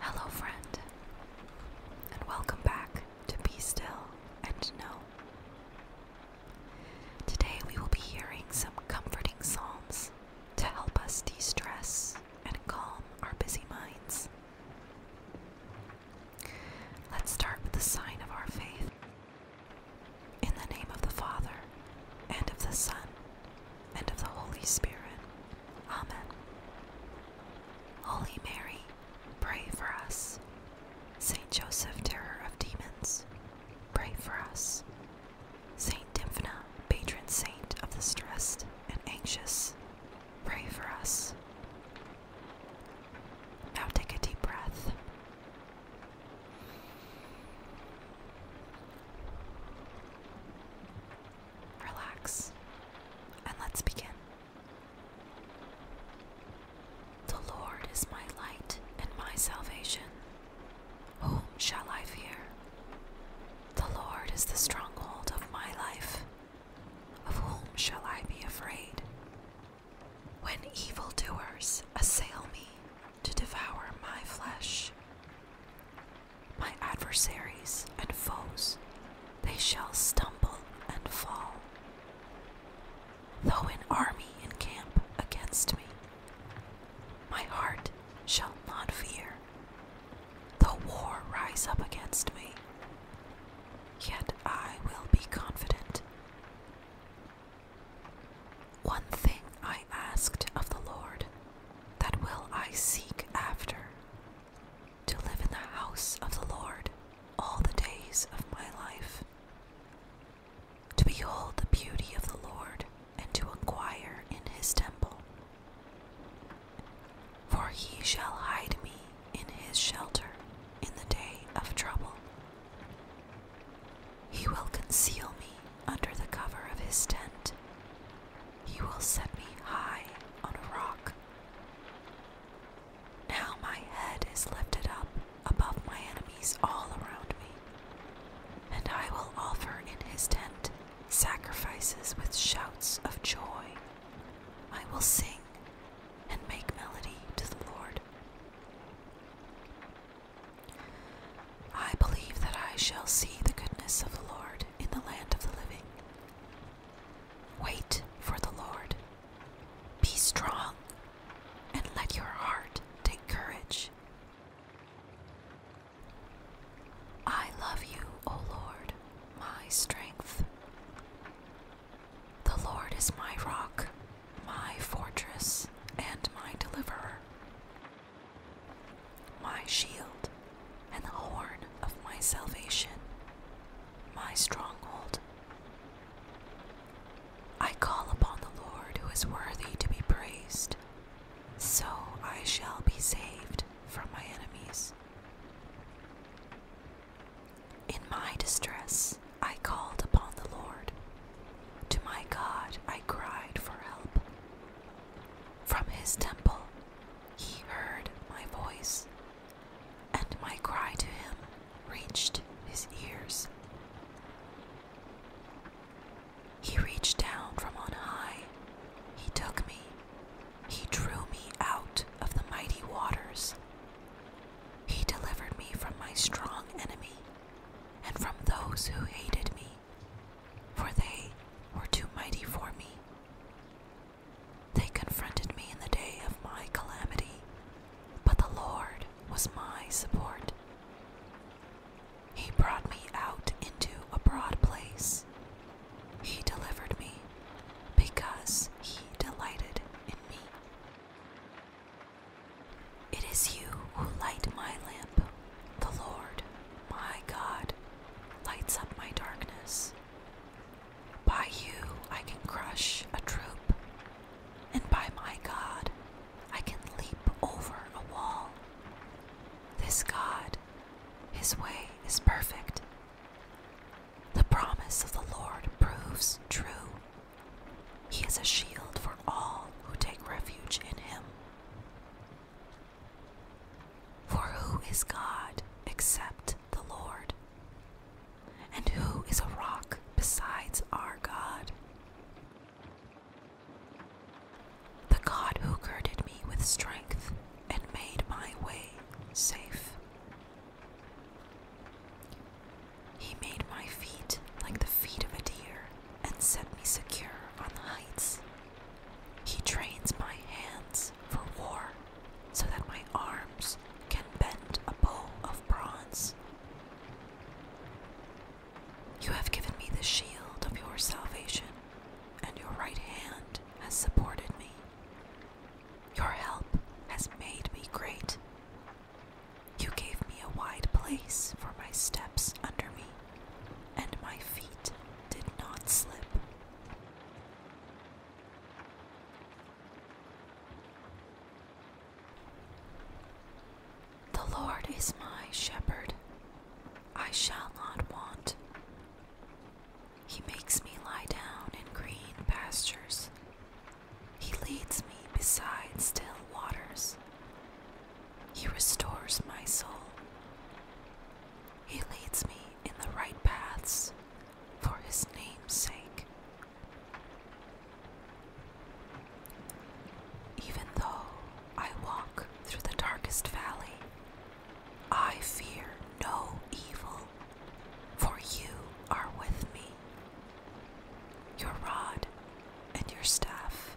Hello, friend, and welcome back to Be Still and Know. Today we will be hearing some comforting psalms to help us de stress and calm our busy minds. Let's start with the sign of our faith. In the name of the Father, and of the Son, and of the Holy Spirit. Amen. Holy Mary, pray for us. Saint Joseph, terror of demons, pray for us. Saint Dymphna, patron saint of the stressed and anxious, pray for us. Now take a deep breath. Relax and let's begin. The Lord is my light and my salvation. Whom shall I fear? The Lord is the stronghold of my life. Of whom shall I be afraid? When evildoers assail me to devour my flesh, my adversaries and foes, they shall stumble and fall. Though an army encamp against me, my heart shall not fear. The war rise up against me, yet I will be confident. One thing I asked of the Lord, that will I seek after, to live in the house of the Lord all the days of my life, to behold the beauty of the Lord, and to inquire in his temple. For he shall hide me in his shelter in the day of trouble. He will conceal me under the cover of his tent. He will set me high on a rock. Now my head is lifted up above my enemies all around me, and I will offer in his tent sacrifices with shouts of joy. I will sing and make melody to the Lord. I believe that I shall see the goodness of the Lord in the land of the living. Wait for the Lord. Be strong and let your heart take courage. I love you, O Lord, my strength. The Lord is my rock, my fortress, and my deliverer, my shield, and the horn of my salvation, my stronghold. I call upon the Lord who is worthy to be praised, so I shall be saved from my enemies. In my distress, I called upon the Lord. To my God, I cried for help. From his temple, he heard my voice, and my cry to him reached his ears. He reached down from on high. He took me. He drew me out of the mighty waters. He delivered me from my strong enemy and from those who hated me, for they were too mighty for me. They confronted me in the day of my calamity, but the Lord was my support. He brought me out into a broad place. He delivered me because he delighted in me. It is you who light my lamp. The Lord, my God, lights up my darkness. By you I can crush a troop, and by my God I can leap over a wall. This God, his way is perfect. The promise of the Lord proves true. He is a shield for all who take refuge in him. For who is God except the Lord? And who is a rock besides our God? The God who girded me with strength and made my way safe. He made my feet like the feet of a deer and set me secure on the heights. He trains my hands for war so that my arms can bend a bow of bronze. You have given me the shield of your salvation, and your right hand has supported me. Your help has made me great. You gave me a wide place for my steps under me, and my feet did not slip. The Lord is my shepherd, I shall not want. He makes me lie down in green pastures, He leads me beside still waters, He restores my soul. He leads me in the right paths for his name's sake. Even though I walk through the darkest valley, I fear no evil, for you are with me. Your rod and your staff,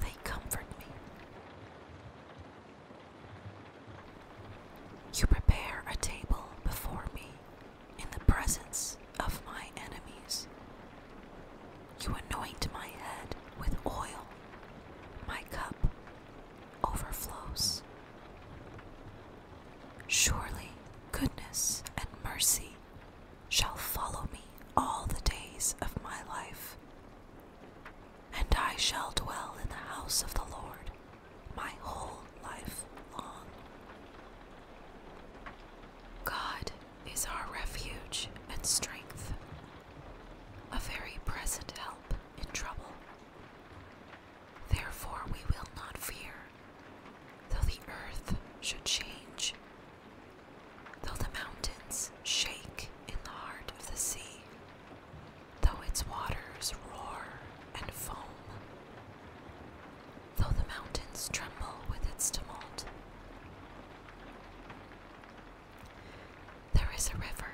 they comfort me. You prepare a table before me in the presence of my enemies. You anoint my head with oil, my cup overflows. Surely goodness and mercy shall follow me all the days of my life, and I shall dwell in the house of the Lord my whole life long. God is our refuge and strength, a very present help in trouble. Therefore, we will not fear, though the earth should change, though the mountains shake in the heart of the sea, though its waters roar and foam though the mountains tremble with its tumult. There is a river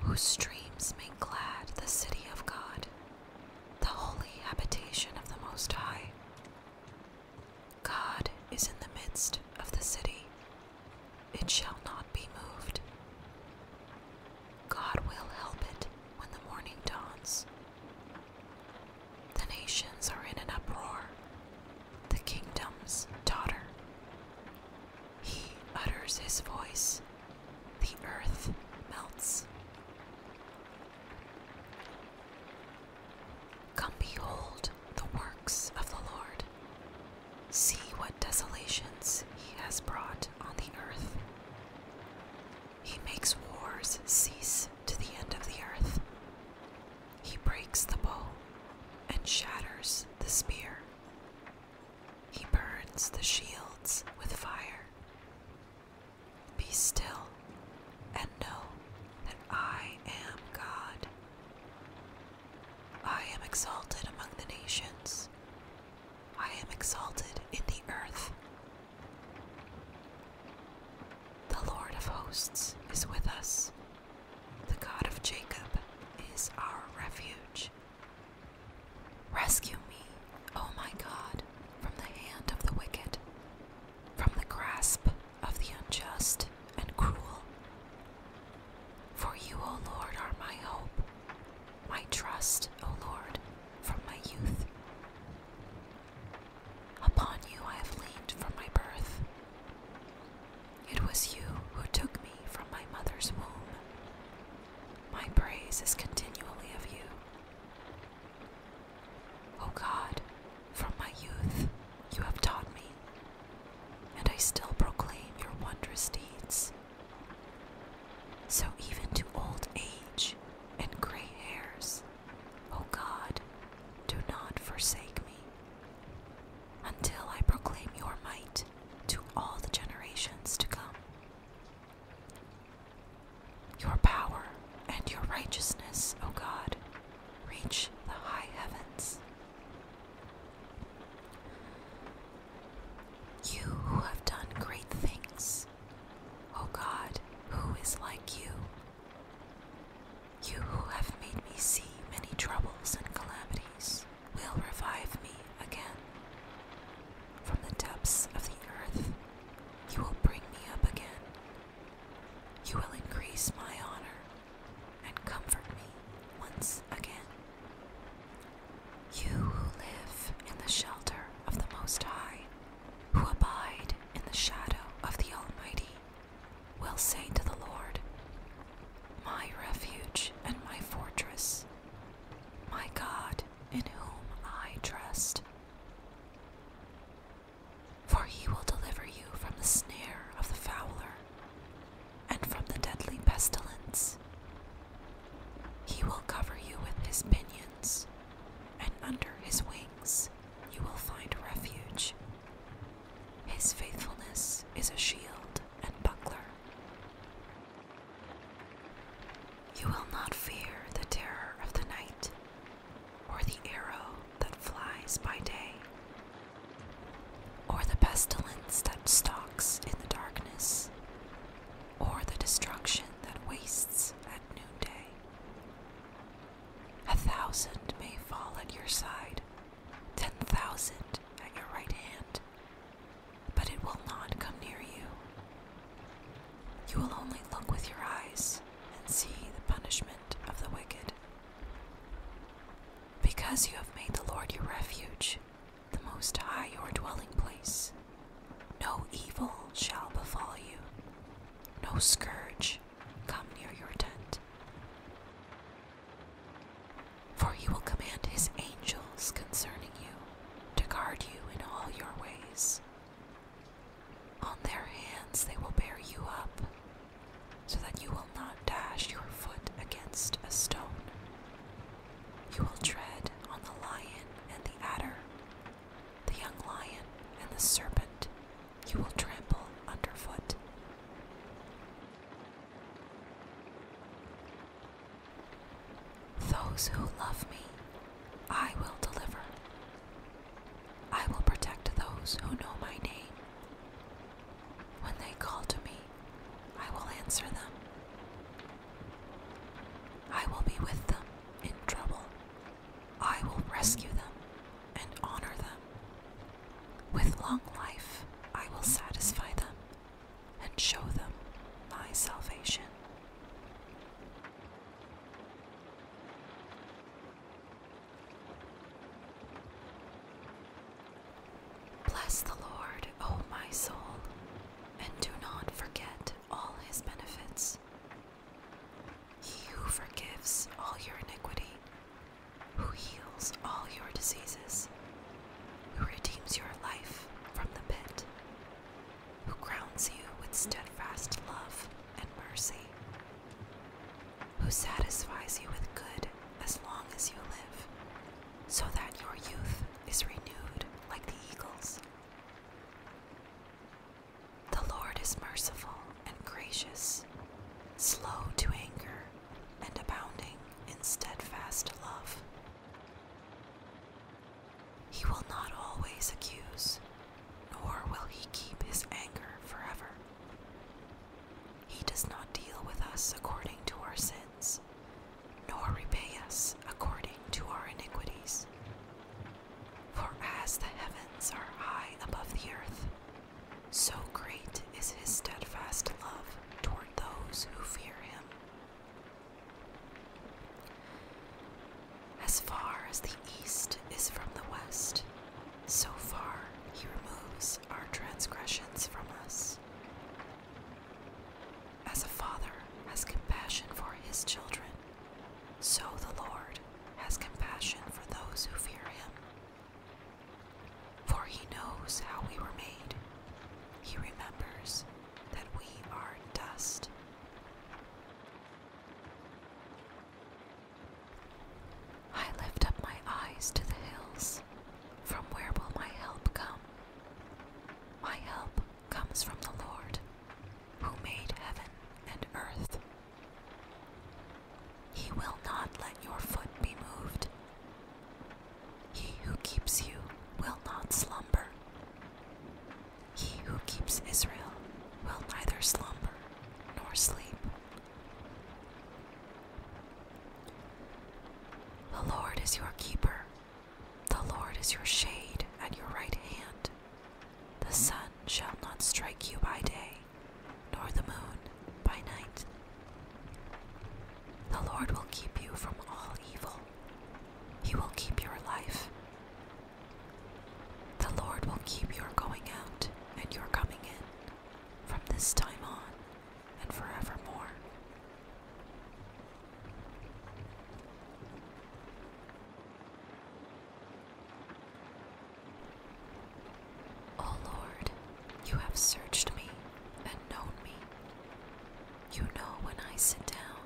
whose streams make glad the city of God, the holy habitation of the Most High. God is in the midst of the city, it shall not be moved. God will help it when the morning dawns. The nations are in an uproar, the kingdoms totter. He utters his voice, the earth melts. Come behold the works of the Lord. See what desolations he has brought on the earth. He makes wars cease to the end of the earth. He breaks the bow and shatters the spear. He burns the shields with fire. Be still and know that I am God. I am exalted among the nations. I am exalted in the earth. The Lord of hosts is with us. The God of Jacob is our refuge. Rescue me, O my God, from the hand of the wicked, from the grasp of the unjust and cruel. For you, O Lord, are my hope, my trust, O Lord, from my youth. Upon you I have leaned from my birth. It was you who took me from my mother's womb. My praise is continually of you. O God, from my youth you have taught me, and I still proclaim your wondrous deeds. So even to old age and gray hairs, O God, do not forsake me until I proclaim your might to all the generations to come. Your power and your righteousness, O God, reach the high heavens. You who have done great things voice oh O God, who is like you? You who have made me see many troubles and calamities will revive me again. From the depths of the earth, you will bring me up again. You will increase my honor and comfort me once again. You who live in the shelter of the Most High who abide in the shadow of the Almighty, will say to the Lord, My refuge and my fortress, my God in whom I trust. For he will deliver you from the snare of the fowler and from the deadly pestilence. He will cover you with his pinions and under his wings you will find refuge. His faithfulness is a shield and buckler. You will not fear the terror of the night, or the arrow that flies by day, or the pestilence that stalks in the darkness, or the destruction that wastes noonday. A thousand may fall at your side, ten thousand at your right hand, but it will not come near you. You will only look with your eyes and see the punishment of the wicked. Because you have made the Lord your refuge, the Most High your dwelling place, no evil shall befall you, no scourge come near your tent. For he will command his angels concerning you to guard you in all your ways. On their hands they will bear you up, so that you will not dash your foot against a stone. You will tread on the lion and the adder the young lion and the serpent you will trample underfoot. Those who love me, I will deliver. I will protect those who know my name. When they call to me, I will answer them. I will be with them in trouble. I will rescue them and honor them. With long life, I will satisfy them and show them my salvation. Bless the Lord, O my soul, and do not forget all his benefits. He who forgives all your iniquity, who heals all your diseases, who redeems your life from the pit, who crowns you with steadfast love and mercy, who satisfies you with good as long as you live, so that your youth is renewed like the eagles. The Lord is merciful and gracious, slow to anger, and abounding in steadfast love. He will not always accuse, nor will he keep his anger forever. He does not deal with us according to our sins, nor repay us according to our iniquities. For as the heavens are high above the earth, so great is his steadfast love toward those who fear him. As far as the east is from the west, so far he removes our transgressions from us. As a father has compassion for his children, so the Lord has compassion for those who fear him. For he knows how we were made, he remembers that we are dust. I lift up my eyes to the hills. From where will my help come? My help comes from the Lord, who made heaven and earth. He will not let your foot be moved. He who keeps you will not slumber. He who keeps Israel will neither slumber nor sleep. The Lord is your keeper. The Lord is your shade at your right hand. The sun shall not strike you by day, nor the moon by night. The Lord will keep you from all evil. He will keep your life. The Lord will keep your going out and your coming in from this time on and forevermore. O oh, Lord, you have searched me and known me. You know when I sit down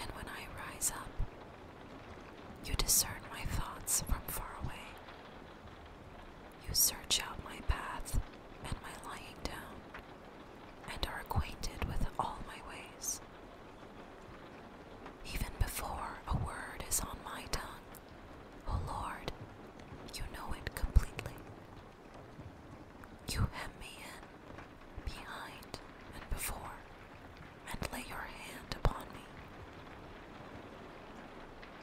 and when I rise up. You discern my thoughts from far away. You search out my path and my lying down and are acquainted with all my ways. Even before a word is on my tongue, O Lord, you know it completely. You hem me in, behind and before, and lay your hand upon me.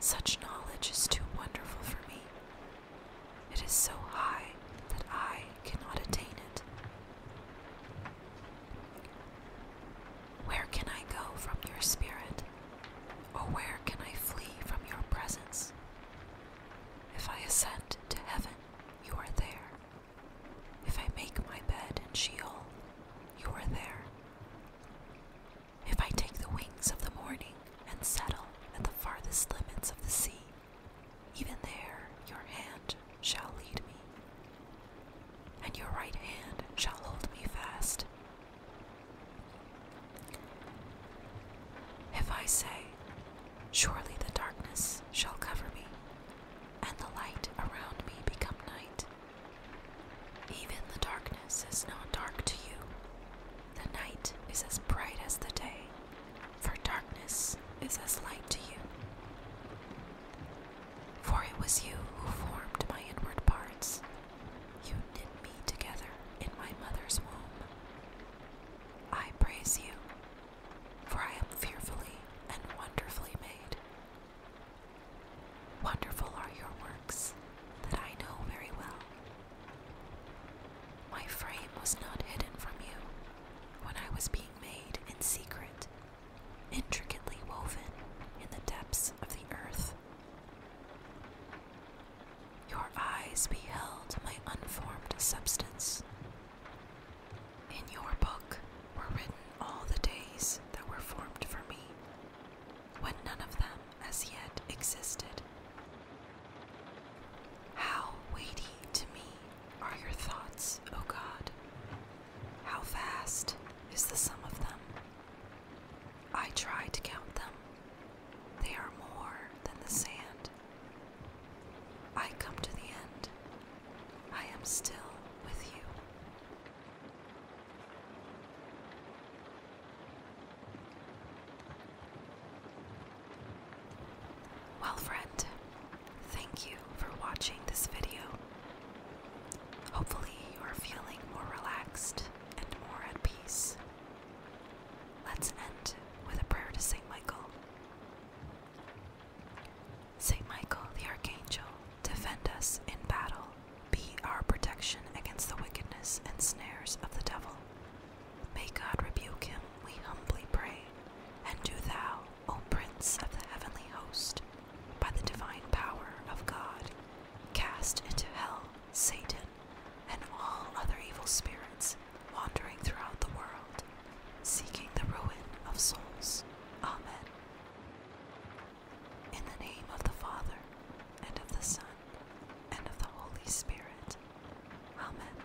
Such knowledge is too wonderful for me it is so high that I cannot attain it. Where can I go from your spirit? Or where can I flee from your presence? If I ascend to heaven, you are there. If I make my bed in Sheol, you are there. If I take the wings of the morning and settle at the farthest limits of the sea, even there your hand shall lead me, and your right hand shall hold me fast. If I say, Surely the darkness shall cover me, and the light around me become night, even the darkness is not dark to you. The night is as bright as the day for darkness is as light to you. For it was you who formed my inward parts. You knit me together in my mother's womb. I praise you, for I am fearfully and wonderfully made. Wonderful are your works that I know very well. My frame was not hidden from you when I was being made in secret, intricately woven in the depths of the earth. Your eyes beheld my unformed substance. In your book were written all the days that were formed for me, when none of them as yet existed. How weighty to me are your thoughts, O God! How vast is the sum of them! I try to count them. They are more than the sand. I come to the end. I am still with you. Well friend, thank you for watching this video. Hopefully you are feeling more relaxed and more at peace. Let's end with a prayer to St. Michael. St. Michael the Archangel, defend us in battle, be our protection against the wickedness and snares of the devil. May God rebuke him, we humbly pray. And do thou, O Prince of the heavenly host, by the divine power of God, cast into hell Satan and all other evil spirits wandering throughout the world, seeking the ruin of souls. Amen. In the name of the Father, and of the Son, and of the Holy Spirit. Amen.